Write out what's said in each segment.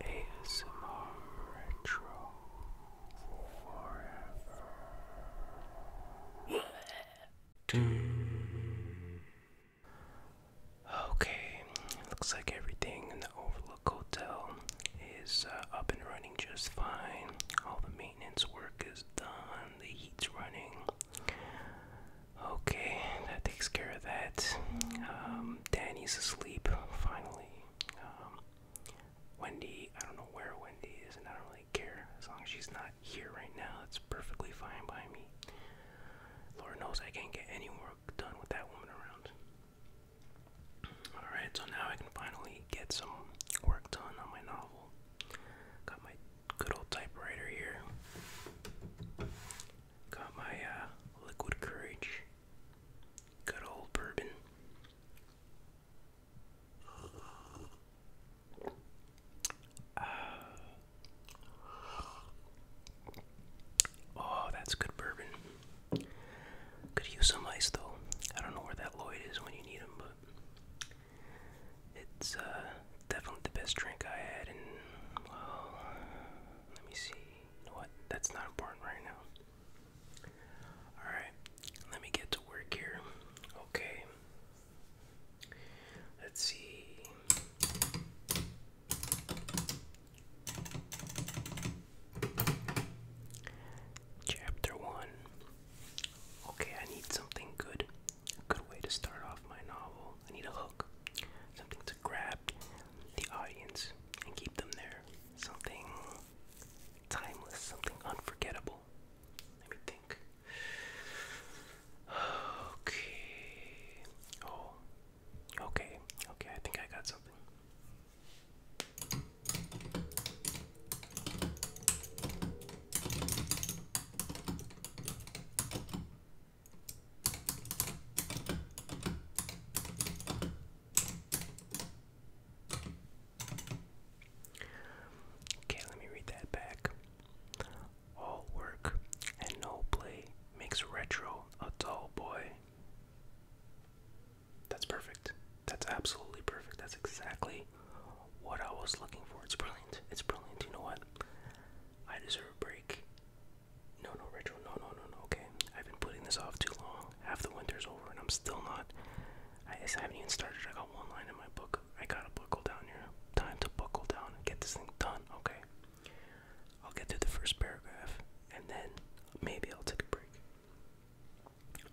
ASMR Retro okay, looks like everything in the Overlook Hotel is uh, up and running just fine. All the maintenance work is done, the heat's running. Okay, that takes care of that. Um, Danny's asleep, finally. Um, Wendy, I don't know where Wendy is, and I don't really care. As long as she's not here right now, it's perfectly fine by me. Lord knows I can't get any work done with that woman around. Alright, so now I can finally get some work done on my novel. Got my good old typewriter here. Got my uh, liquid courage. Good old bourbon. Uh, oh, that's good bourbon. Could use some ice though. I don't know where that Lloyd is when you need him, but it's uh, definitely the best drink I had in let me see. what? That's not important right now. Alright, let me get to work here. Okay. Let's see. Chapter 1. Okay, I need something good. good way to start off my novel. I need a hook. Something grab the audience and keep them there. Something timeless, something unforgettable. Let me think. Okay. Oh. Okay. Okay, I think I got something. Okay, let me read that back. All work and no play makes retro a dull boy. That's perfect. That's absolutely perfect. That's exactly what I was looking for. It's brilliant. It's brilliant. You know what? I deserve a break. No, no, retro. No, no, no, no. Okay, I've been putting this off too long. Half the winter's over, and I'm still not. I just haven't even started. I got one line in my book. I got a buckle down here. Time to buckle down and get this thing done. Okay. I'll get to the first paragraph, and then maybe I'll take a break.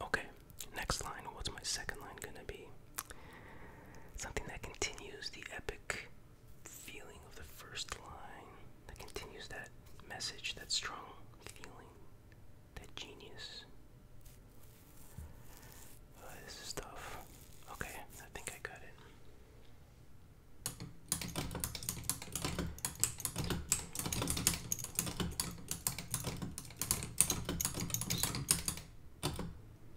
Okay. Next line. What's my second line gonna be? Something that continues the epic feeling of the first line that continues that message, that strong feeling, that genius. Uh, this is tough. Okay, I think I got it.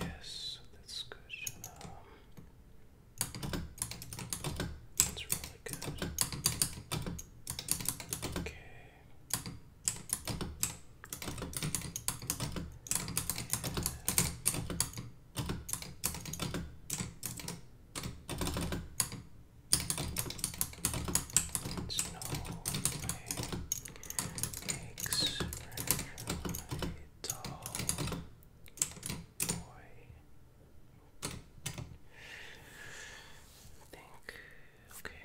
Yes, that's good. that's really good. Okay. Yeah. Snow makes a tall boy. Think. Okay.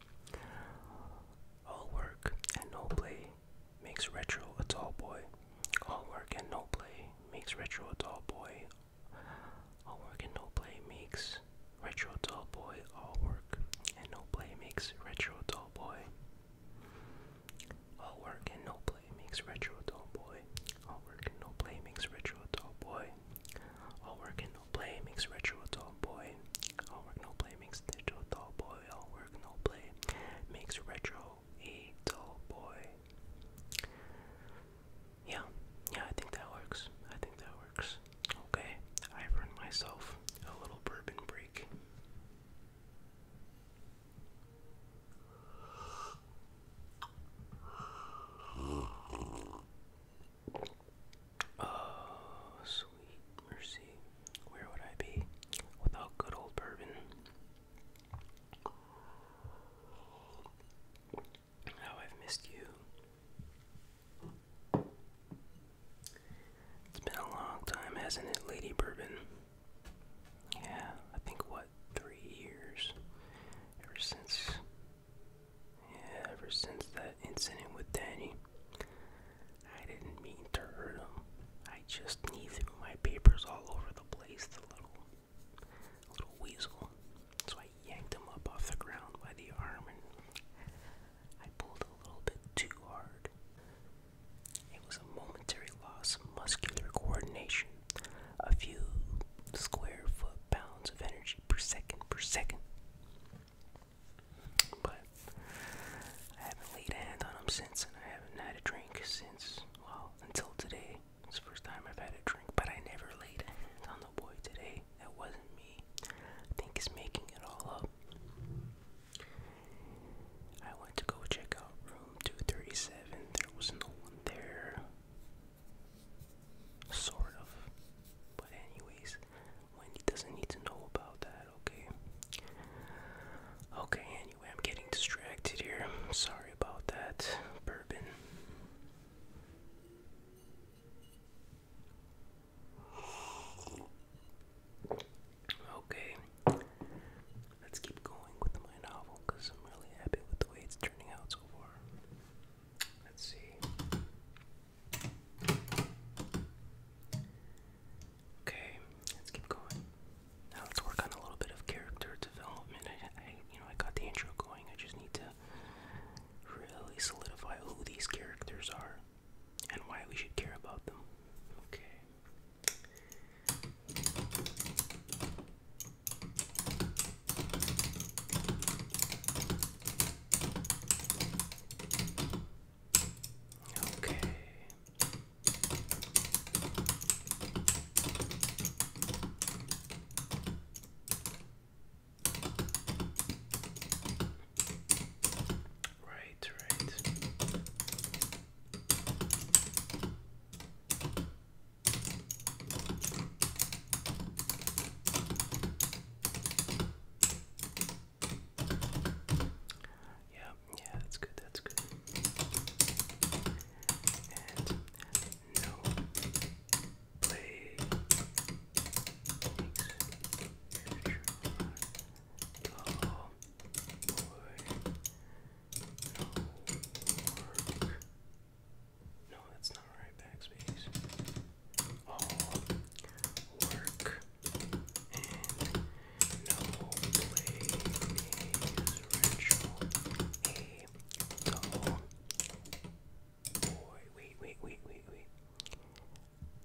All work and no play makes Retro a tall boy. All work and no play makes Retro a tall boy. All work and no play makes Retro a tall boy. All work and no play makes Retro a tall boy. All work and no play makes Retro a tall boy. All work and no play makes Retro a tall boy. All work and no play makes ritual tall boy. All work no play makes digital tall boy. All work no play makes retro a tall boy. Yeah, yeah, I think that works. I think that works. Okay, I've myself a little bourbon break. Oh, sweet mercy. Where would I be without good old bourbon? How I've missed you. It's been a long time, hasn't it, Lady Bourbon? Yeah, I think what, three years? Ever since yeah, ever since that incident with Danny, I didn't mean to hurt him. I just he threw my papers all over the place, the little, little weasel. So I yanked him up off the ground by the arm and I pulled a little bit too hard. It was a momentary loss of muscular coordination, a few square foot pounds of energy per second per second. But I haven't laid hand on him since, and I haven't had a drink since, well, until today. It's first time I've had a drink, but I never laid on the boy today. That wasn't me. I think he's making it all up. I went to go check out room 237. There was no one there. Sort of. But anyways, Wendy doesn't need to know about that, okay? Okay, anyway, I'm getting distracted here. sorry about that. Bourbon. Okay, let's keep going with my novel because I'm really happy with the way it's turning out so far. Let's see. Okay, let's keep going. Now let's work on a little bit of character development. I, you know, I got the intro going. I just need to really solidify who these characters are and why we should care about them. Okay. Okay. Right, right. Yeah, yeah, that's good, that's good. no play Oh boy. No work. No, that's not right. Backspace. All work and no play is ritual. A dull boy. Wait, wait, wait, wait, wait.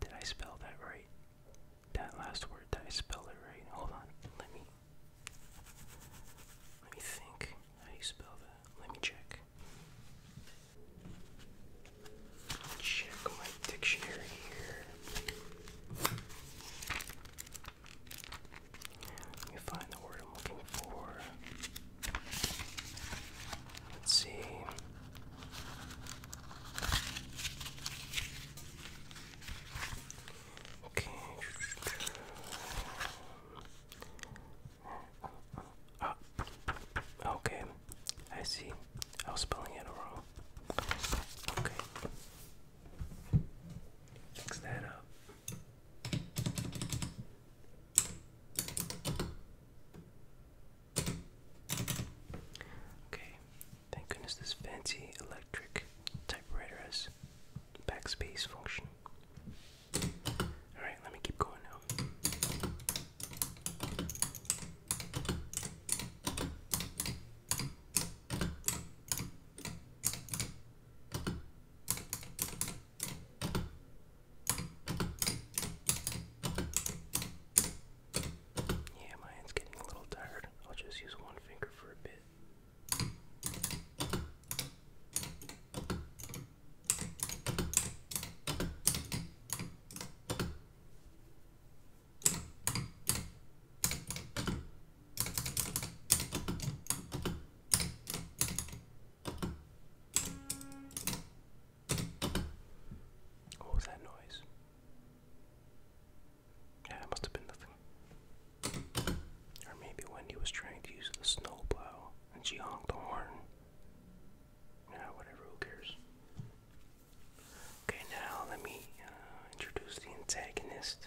Did I spell that right? That last word. Did I spell it right? Hold on. Let me. Let me think. How do you spell that? Let me check. Check my dictionary here. Let me find the word I'm looking for. Let's see. Okay. Uh, okay, I see. I was spelling it wrong. Okay. Fix that up. Okay, thank goodness this fancy electric typewriter has backspace function. Alright, let me keep going now. Yeah, my hand's getting a little tired. I'll just use one finger for a bit. What oh, was that noise? Yeah, it must have been nothing. Or maybe Wendy was trying to use the snowplow and she honked the horn. Yeah, whatever, who cares? Okay, now let me uh, introduce the antagonist.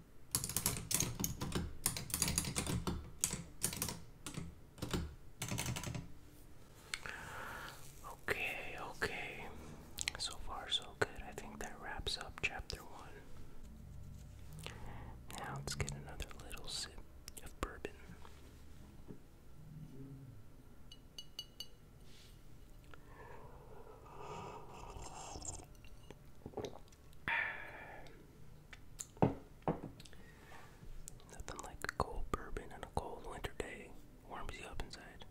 Okay, okay. So far, so good. I think that wraps up chapter one. Now let's get another little sip of bourbon. Nothing like a cold bourbon on a cold winter day. Warms you up inside.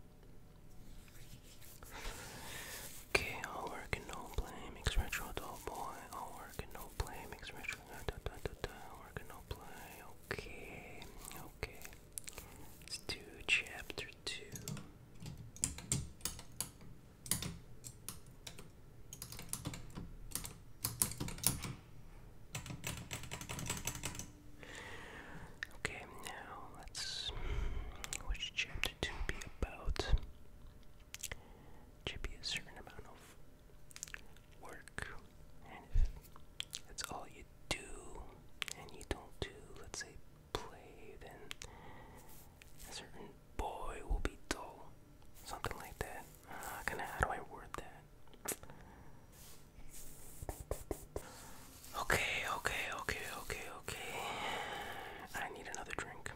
Okay, all work and no play makes retro dull boy. All work and no play makes retro da da da da. All work and no play. Okay, okay. Let's do chapter two. Okay, now let's. Which chapter to be about? Should be a certain amount of work, and if that's all you do, and you don't do, let's say play, then a certain boy will be dull. Something like that. Uh, kinda, how do I word that? Okay, okay, okay, okay, okay. I need another drink.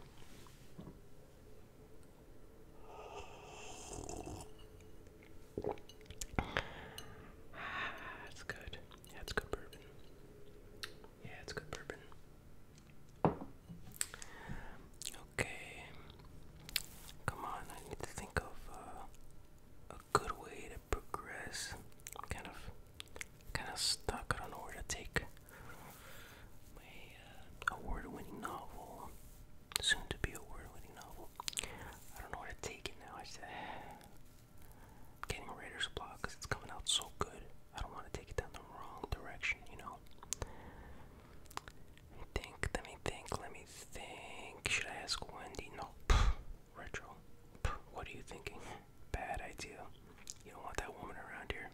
That's ah, good. Yeah, it's good bourbon. Yeah, it's good bourbon. Okay. Come on, I need to think of uh, a good way to progress. am kind of, kind of stuck. I don't know where to take my uh, award-winning novel, soon to be award-winning novel. I don't know where to take it now. I said, getting Raiders blocked because it's coming out so good. I don't want to take it down the wrong direction, you know. think, let me think, let me think. Should I ask Wendy? No. retro. what are you thinking? Bad idea. You don't want that woman around here.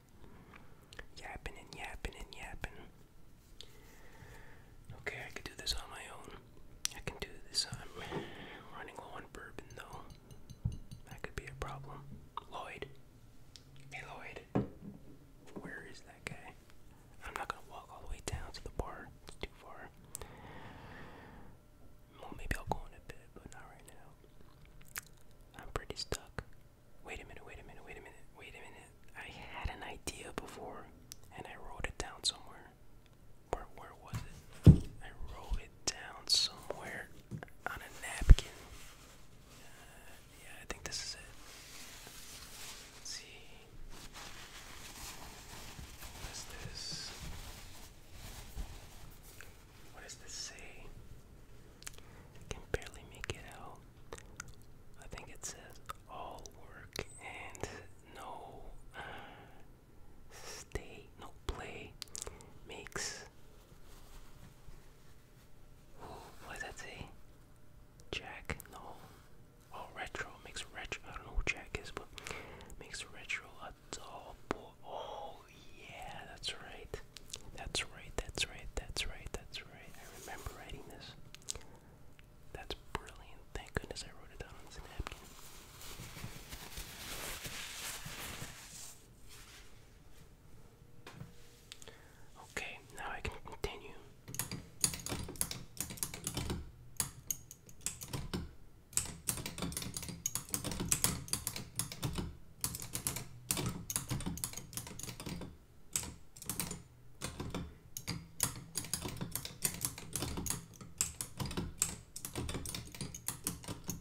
Yapping and yapping and yapping. Okay, I can do this on my own. I can do this. I'm running low on bourbon though. That could be a problem. Lloyd. Hey, Lloyd. Where is that guy? I'm not gonna walk all the way down to the bar. It's too far. Well, maybe I'll go in a bit, but not right now. I'm pretty stuck. Wait a minute, wait a minute, wait a minute, wait a minute. I had an idea before, and I wrote it down somewhere. Where, where was it? I wrote it down somewhere on a napkin. Uh, yeah, I think this is it. see. What is this? What does this say? I can barely make it out. I think it says all work and no uh, stay, no play, makes. what does that say? Jack, no. Oh, retro makes retro. I don't know who Jack is, but makes retro a double. Oh, yeah, that's right. That's right. That's right. That's right. That's right. I remember writing this. That's brilliant. Thank goodness I wrote it down on this napkin. Okay, now I can continue.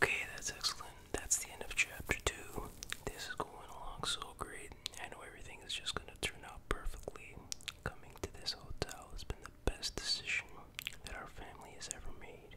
Okay, that's excellent that's the end of chapter two. This is going along so great. I know everything is just going to turn out perfectly. Coming to this hotel has been the best decision that our family has ever made.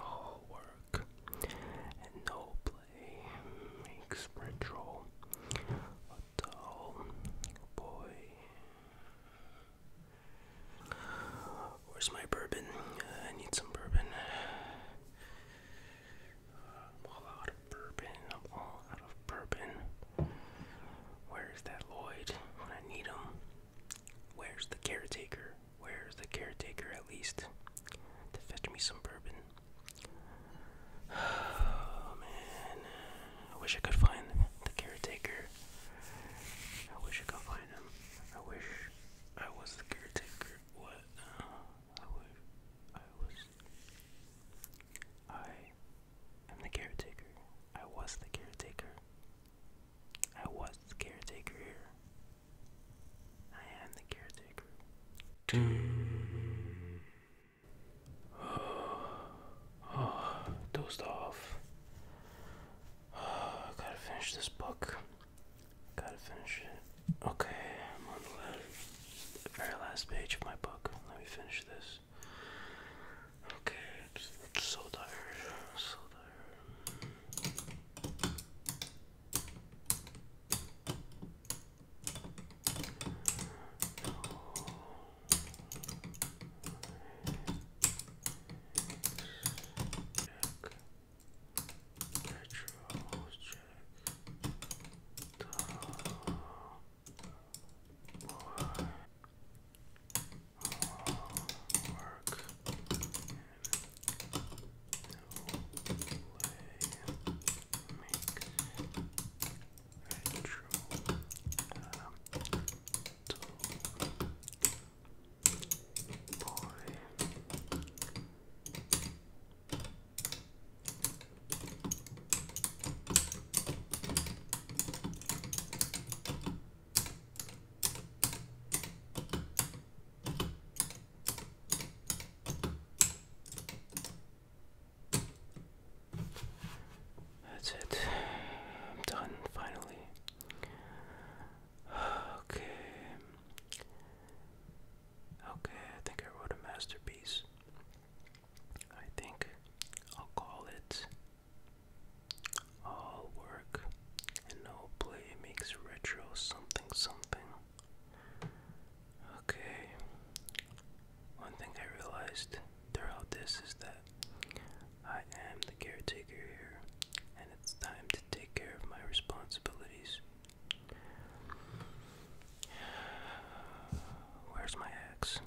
All work and no play makes Rentroll a dull boy. Where's my bourbon? I need some bourbon. I'm all out of bourbon. I'm all out of bourbon. Where's that Lloyd when I need him? Where's the caretaker? Where's the caretaker at least to fetch me some bourbon? Oh man, I wish I could find the caretaker. I wish I could find him. I wish I was the caretaker. What? I wish I was I am the caretaker. I was the caretaker. I was the caretaker here. I am the caretaker. Too. Oh, oh, dozed off. I gotta finish this book. Gotta finish it. Okay, I'm on the last, very last page of my book. Let me finish this. Okay, so tired. So tired. Retro check. Duh. Boy. Oh, work. And no Make retro. Um, Boy. That's it. I'm done finally. Okay. Okay, I think I wrote a masterpiece. I think I'll call it All Work and No Play Makes Retro Something Something. Okay, one thing I realized throughout this is that I am the caretaker here, and it's time to take care of my responsibilities. Where's my axe?